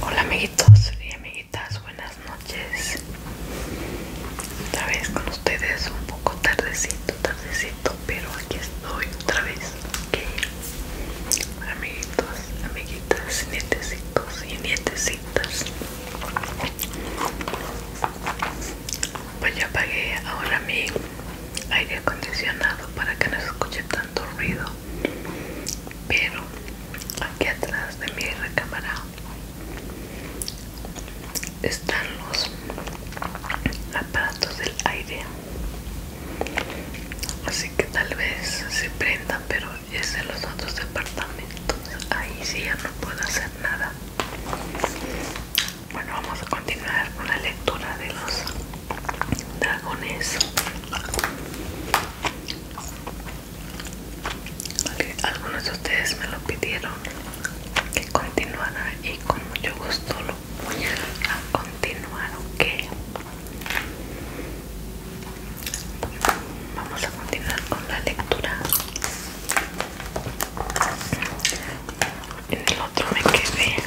Hola amiguitos y amiguitas, buenas noches. Otra vez con ustedes, un poco tardecito, tardecito, pero aquí estoy otra vez. Amiguitos, amiguitas, nietecitos y nietecitas. Pues ya apagué ahora mi aire acondicionado para que no se escuche tanto ruido pero aquí atrás de mi recámara están los aparatos del aire así que tal vez se prendan pero es en los otros departamentos ahí sí ya no puedo hacer nada bueno vamos a continuar con la lectura de los dragones algunos de ustedes me lo pidieron que continuara y con mucho gusto lo voy a continuar ok vamos a continuar con la lectura en el otro me quedé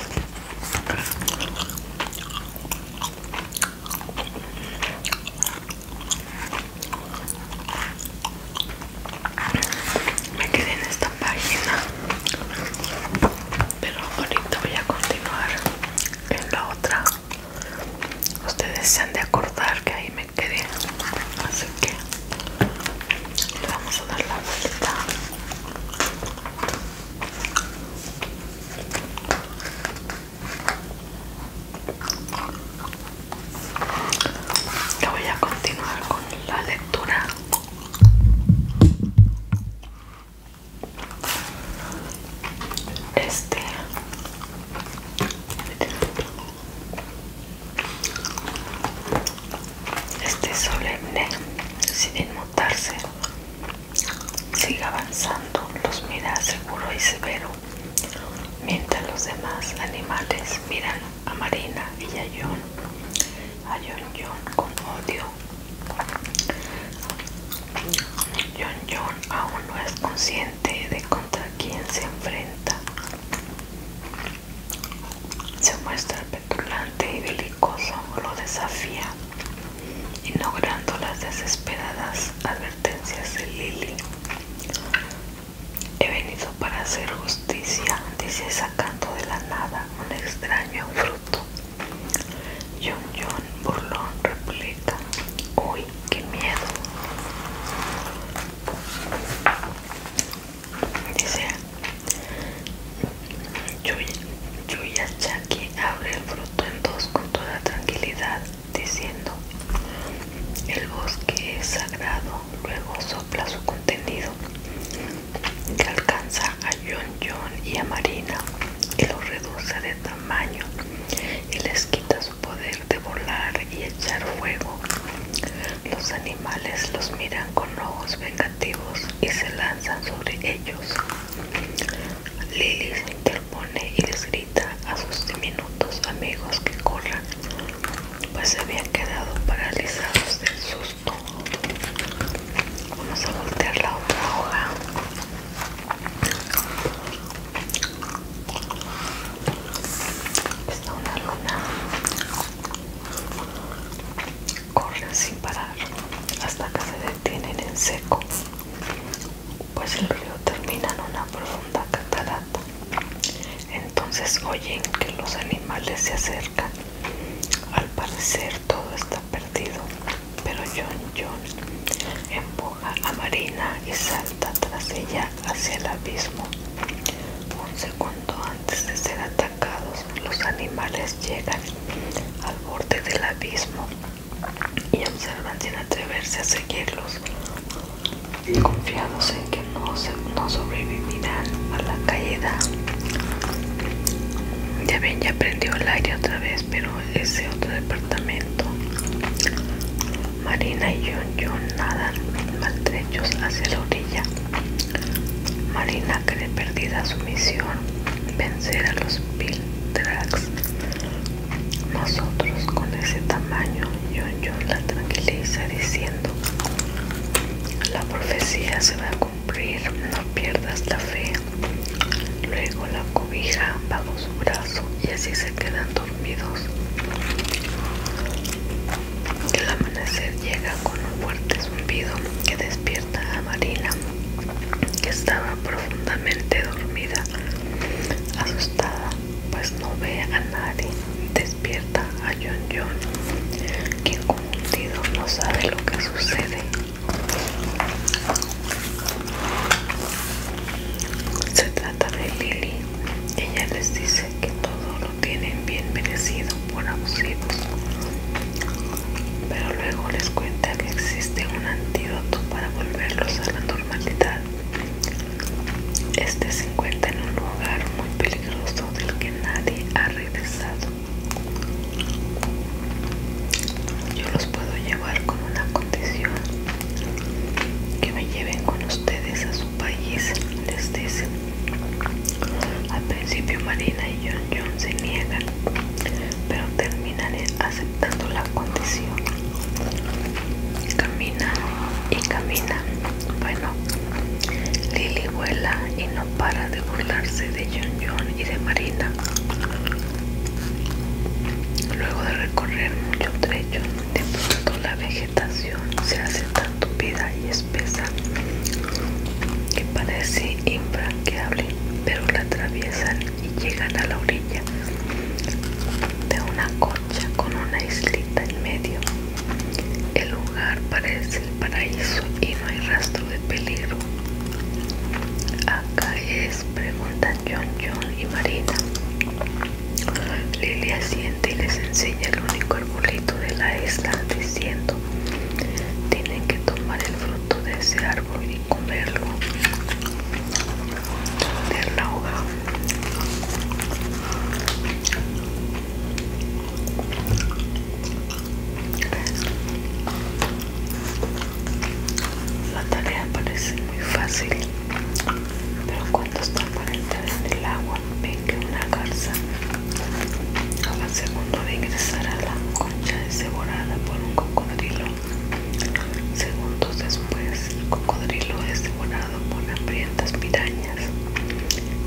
me quedé en esta página, pero ahorita voy a continuar en la otra. Ustedes se han de acordar que ahí me quedé, así que le vamos a dar la vuelta voy a continuar con la lectura. Este Este solemne, sin Sigue sigue avanzando, los mira seguro y severo, mientras los demás animales miran a Marina y a John, a John John con odio. John John aún no es consciente de contra quién se enfrenta. Se muestra petulante y delicado cosa lo desafía, ignorando las desesperadas advertencias de Lily. He venido para hacer justicia, dice sacando de la nada un extraño fruto. John John burlón replica, uy, qué miedo. Dice, Chucky abre el fruto en dos con toda tranquilidad, diciendo: El bosque es sagrado, luego sopla su contenido, que alcanza a John, Yon y a Marina, y los reduce de tamaño, y les quita su poder de volar y echar fuego. Los animales los miran con ojos vengativos y se lanzan sobre ellos. Lily se interpone y les grita a sus diminutos amigos que corran, pues se habían quedado paralizados del susto. Vamos a voltear la otra hoja. Está una luna corren sin parar hasta que se detienen en seco, pues el río termina en una profunda catarata. Entonces oyen que los animales se acercan. Al parecer todo está perdido, pero John John empuja a Marina y salta tras ella hacia el abismo. Un segundo antes de ser atacados, los animales llegan al borde del abismo y observan sin atreverse a seguirlos, confiados en que no, no sobrevivirán a la caída. Ya ven, ya prendió el aire otra vez, pero ese otro departamento. Marina y yo nadan maltrechos hacia la orilla. Marina que le perdida su misión, vencer a los Piltrax. Nosotros con ese tamaño, John John la tranquiliza diciendo, la profecía se va a cumplir, no pierdas la fe. Luego la cobija bajo su brazo y así se quedan dormidos. El amanecer llega con un fuerte zumbido que despierta a Marina, que estaba profundamente dormida, asustada, pues no ve a nadie. Despierta a John John, quien confundido no sabe lo que sucede. Se trata de Lily. Ella les dice que todo lo tienen bien merecido por abusivos pero luego les cuenta que existe un antídoto para volverlos a la normalidad. Este se encuentra en un lugar muy peligroso del que nadie ha regresado. Yo los puedo llevar con una condición, que me lleven con ustedes a su país, les dicen. Al principio Marina se niegan, pero terminan aceptando la condición. Camina y camina. Bueno, Lily vuela y no para de burlarse de John John y de Marina. Luego de recorrer mucho trecho, de pronto la vegetación se hace tan tupida y espesa que parece infranqueable pero la atraviesan y llegan a la orilla de una concha con una islita en medio. El lugar parece el paraíso y no hay rastro de peligro. Acá es, preguntan John, John y Marina. Lily asiente y les enseña el único arbolito de la isla diciendo, tienen que tomar el fruto de ese árbol voy a comerlo, meter la La tarea parece muy fácil, pero cuando está para entrar en el agua, ven que una garza segunda segundo a ingresar a la es devorada por un cocodrilo. Segundos después, el cocodrilo es devorado por hambrientas pirañas.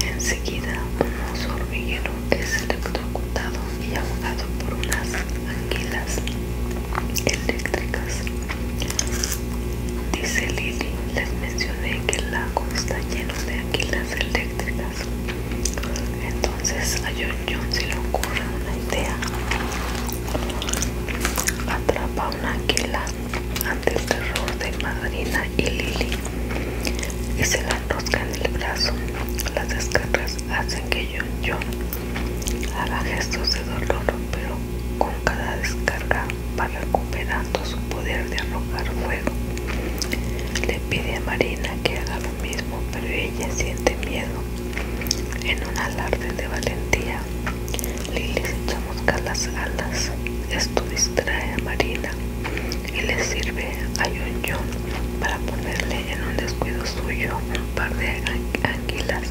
Enseguida, un oso hormiguero es electrocutado y ahogado por unas anguilas eléctricas. Dice Lily, les mencioné que el lago está lleno de anguilas eléctricas. Entonces a John John se le ocurre una idea. Atrapa una águila ante el terror de Madrina y Lily y se la enrosca en el brazo. Las descargas hacen que John John haga gestos de dolor, pero con cada descarga va recuperando su poder de arrojar fuego. Le pide a Marina que haga mismo, pero ella siente miedo. En un alarde de valentía, Lily se echa buscar las alas. Esto distrae a Marina y le sirve a yon para ponerle en un descuido suyo un par de anguilas.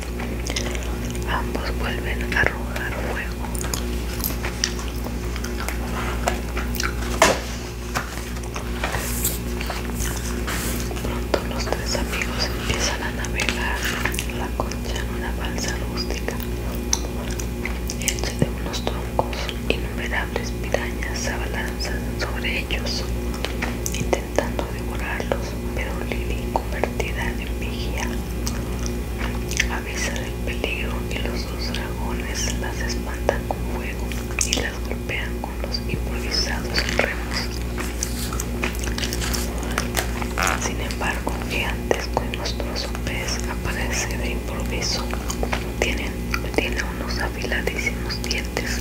Ambos vuelven a arrojar fuego. Pronto los tres amigos empiezan a navegar la concha en una balsa rústica entre de unos troncos. Innumerables pirañas se abalanzan sobre ellos, intentando devorarlos, pero Lily, convertida en vigía, avisa del peligro y los dos dragones las espantan con fuego y golpean con los improvisados remos. Sin embargo, gigantesco y monstruoso pez aparece de improviso. tiene unos afiladísimos dientes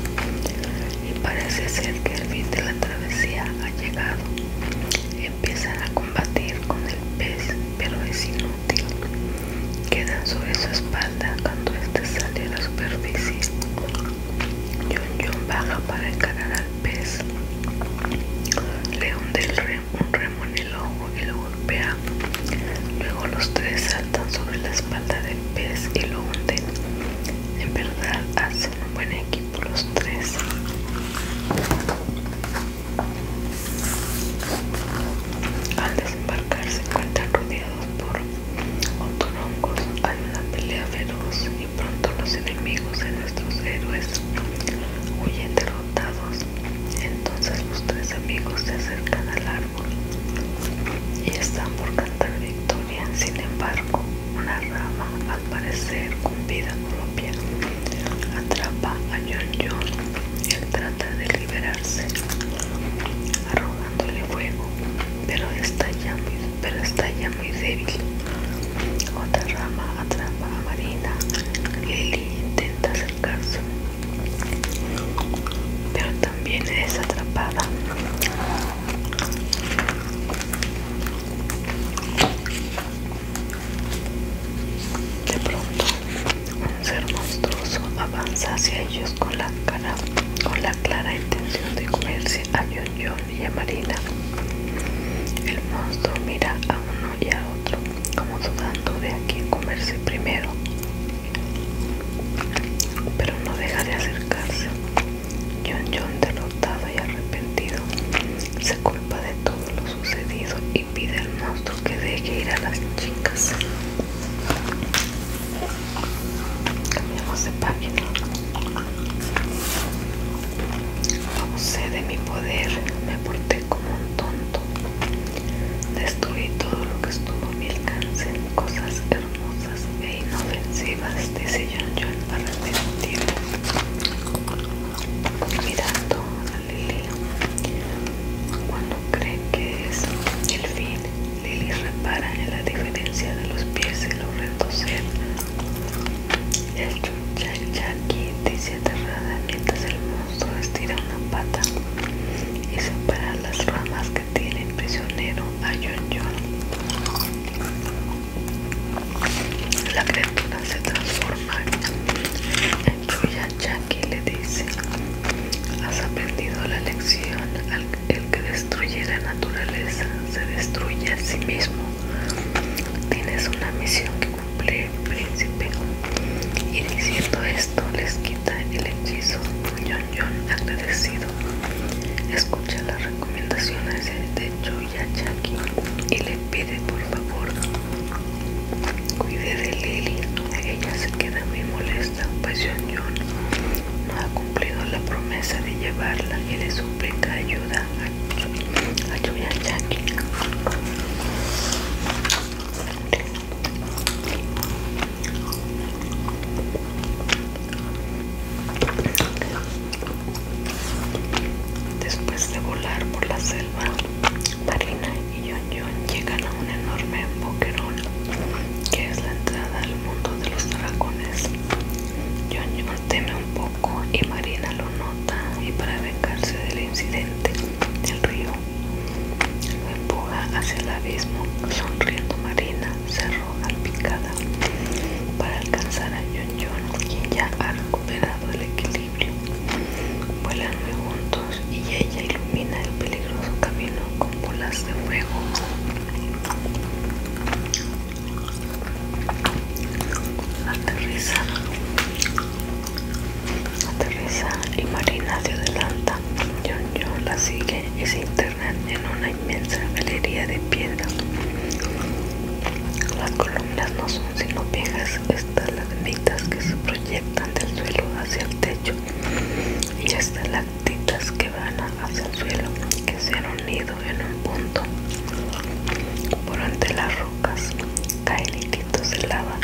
y parece ser que el fin de la travesía ha llegado. Empiezan a combatir con el pez, pero es inútil quedan sobre su espalda cuando este sale a la superficie. John John baja para encarar al pez. Le hunde un remo en el ojo y lo golpea. Luego los tres saltan sobre la espalda del pez y lo hunden. En verdad hacen un buen equipo los tres. Al desembarcarse se rodeados por otorongos hay una pelea feroz y pronto los enemigos de nuestros héroes huyen derrotados. Entonces los tres amigos se acercan al árbol y están por cantar victoria. Sin embargo, una rama, al parecer con vida propia, atrapa a John John. Él trata de liberarse, dándole fuego, pero está ya muy, pero está ya muy débil. Otra rama atrapa a Marina. Lily intenta acercarse, pero también es atrapada. De pronto, un ser monstruoso avanza hacia ellos con la, cara, con la clara intención de comerse a John John y a Marina. El monstruo mira a uno y a otro, como dudando de a quién comerse primero, pero no deja de acercarse. yon yon derrotado y arrepentido, se culpa de todo lo sucedido y pide al monstruo que deje ir a las chicas. Cambiamos de página. sé de mi poder, me porté como un tonto. Destruí todo lo que estuvo a mi alcance, cosas hermosas e inofensivas, dice John John para tiempo. Mirando a Lily, cuando cree que es el fin Lily. repara en la diferencia de los pies y los reconoce. El Jackie dice aterrada mientras el monstruo estira una pata y separa las ramas que tienen prisionero a y John. La criatura se transforma. en El y le dice Has aprendido la lección, el que destruye la naturaleza se destruye a sí mismo. Tienes una misión que cumplir, príncipe. Y diciendo esto les quita el hechizo. Yon Yon agradecido. Escucha las recomendaciones de Chucky. y le pide por favor cuide de Lily. Ella se queda muy molesta la no ha cumplido la promesa de llevarla y le suplica ayuda a, a Yankee. Después de volar por la selva, Marina y yon llegan a un enorme boquerón que es la entrada al mundo de los dragones. yon yon teme un poco y Marina lo nota y para vengarse del incidente del río lo empuja hacia el abismo. Sonriendo Marina cerró picada para alcanzar a John yon quien ya ha recuperado el equilibrio. Vuelan muy juntos y ella ilumina el peligroso camino con bolas de fuego. Aterriza, aterriza y Marina se adelanta. John la sigue y se internan en una inmensa galería de piedra. Las columnas no son sino viejas estalagmitas que se proyectan del suelo hacia el techo y estas latitas que van hacia el suelo que se han unido en un punto por entre las rocas caen hilitos de lava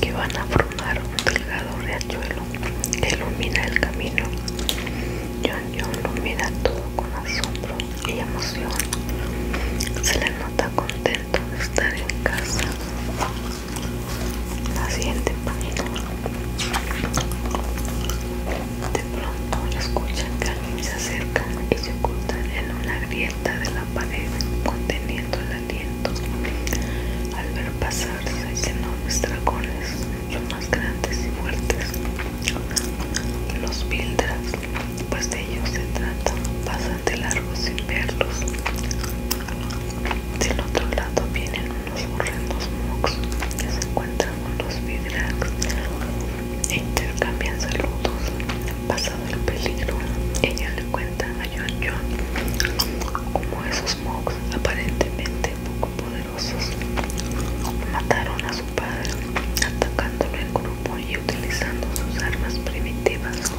que van a formar un delgado riachuelo que ilumina el camino John John lo mira todo con asombro y emoción se le nota contento de estar en casa la siguiente página de pronto escuchan que alguien se acerca y se oculta en una grieta de la pared conteniendo el aliento al ver pasar seis los dragones los más grandes y fuertes los Bildras pues de ellos se trata pasan de largo sin verlos del otro lado vienen unos horrendos mugs que se encuentran con los vidrax e intercambian saludos. Pasado el peligro, ella le cuenta a John John cómo esos mugs, aparentemente poco poderosos, mataron a su padre, atacándolo en grupo y utilizando sus armas primitivas.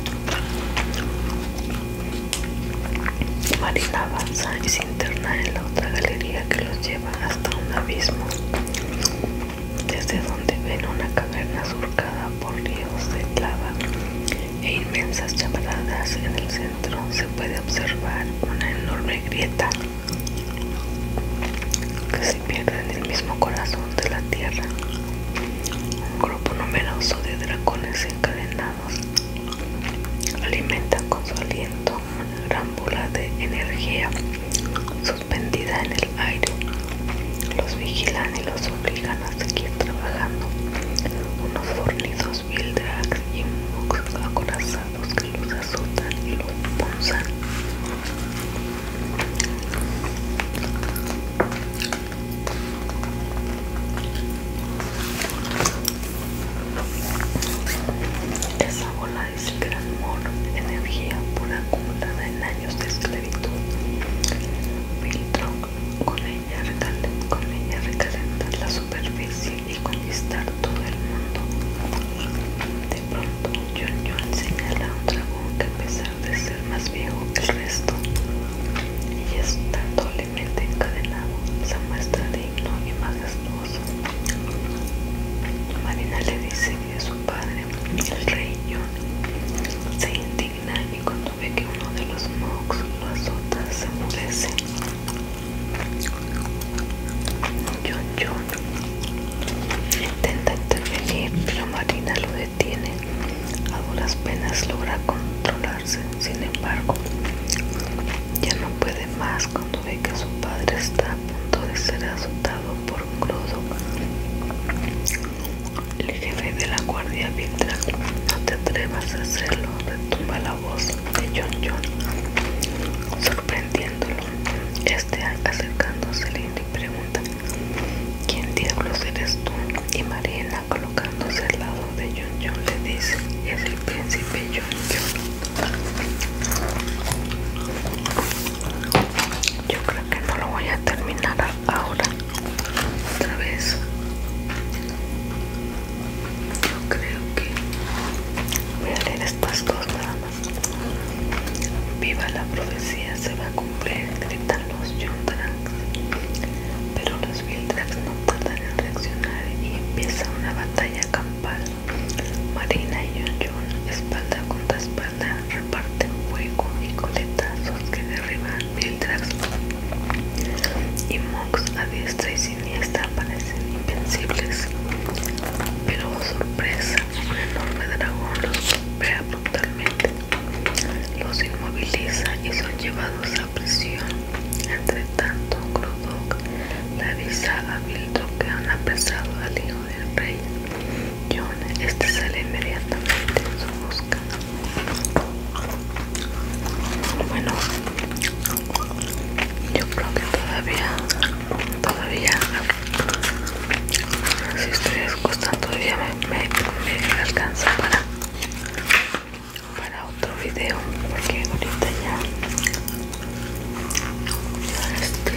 Marina avanza y se interna en la otra galería que los lleva hasta un abismo, desde donde ven una caverna surcada por ríos de lava e inmensas chavaladas. En el centro se puede observar una enorme grieta que se pierde en el mismo corazón de la tierra. Un grupo numeroso de dragones encadenados alimentan con su aliento una gran de energía suspendida en el aire. Los vigilan y los obligan a seguir trabajando. Unos fornidos Vildrax y box acorazados que los azotan y los punzan. Esa bola es gran amor, energía pura acumulada en años de esclavitud. Filtró con ella, con recalentar la superficie y conquistar todo el mundo. De pronto, John señala a un dragón que a pesar de ser más viejo que el resto, y está tan encadenado se muestra digno y majestuoso. Marina le dice que su padre, el rey John, se indigna y cuando ve que uno de los Mox lo azota, se muere, John John intenta intervenir, pero Marina lo tiene, A duras penas logra controlarse, sin embargo, ya no puede más cuando ve que su padre está a punto de ser azotado por un Crudo. El jefe de la guardia Victra, no te atrevas a hacerlo, retumba la voz de John John, sorprendiéndolo. Este acercándose y pregunta, ¿quién diablos eres tú? Y Mariana colocándose al lado de John le dice es el príncipe John yo creo que no lo voy a terminar ahora otra vez yo creo que voy a leer estas cosas nada más viva la profecía se va a cumplir grita los Drax, pero los Drax no tardan en reaccionar y empieza una batalla campal. Marina y Yun espalda contra espalda, reparten fuego y coletazos que derriban mientras Y Mox a diestra y siniestra parecen invencibles. Pero sorpresa, un enorme dragón los golpea brutalmente, los inmoviliza y son llevados a presión. Entre tanto, Crodok le avisa a Bildo que han apresado al hijo del rey. John este sale inmediatamente en su busca. Bueno, yo creo que todavía, todavía, si estoy gustan, todavía me, me, me alcanza para para otro video porque ahorita ya ya este,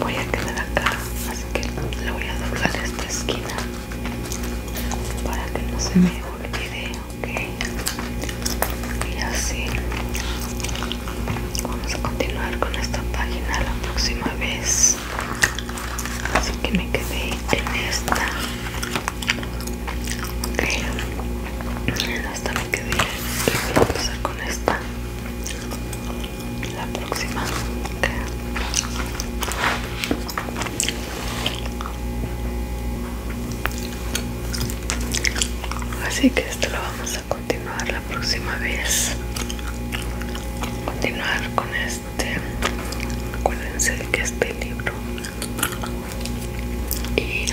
voy a quedar acá así que le voy a doblar esta esquina para que no se me olvide ok y así vamos a continuar con esta página la próxima vez así que me quedé en esta ok esta me quedé a con esta la próxima así que esto lo vamos a continuar la próxima vez continuar con esto este, de que este libro y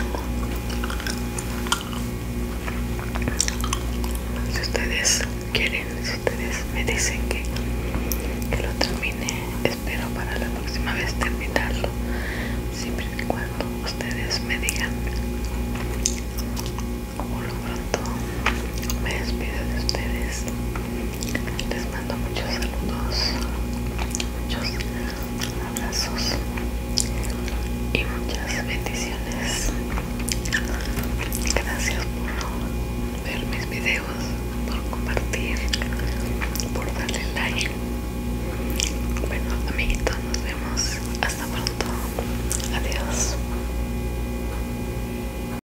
si ustedes quieren si ustedes me dicen que, que lo termine espero para la próxima vez terminarlo siempre y cuando ustedes me digan por lo pronto me despido de ustedes les mando muchos saludos muchos abrazos y muchas bendiciones gracias por ver mis videos por compartir por darle like bueno amiguitos nos vemos hasta pronto adiós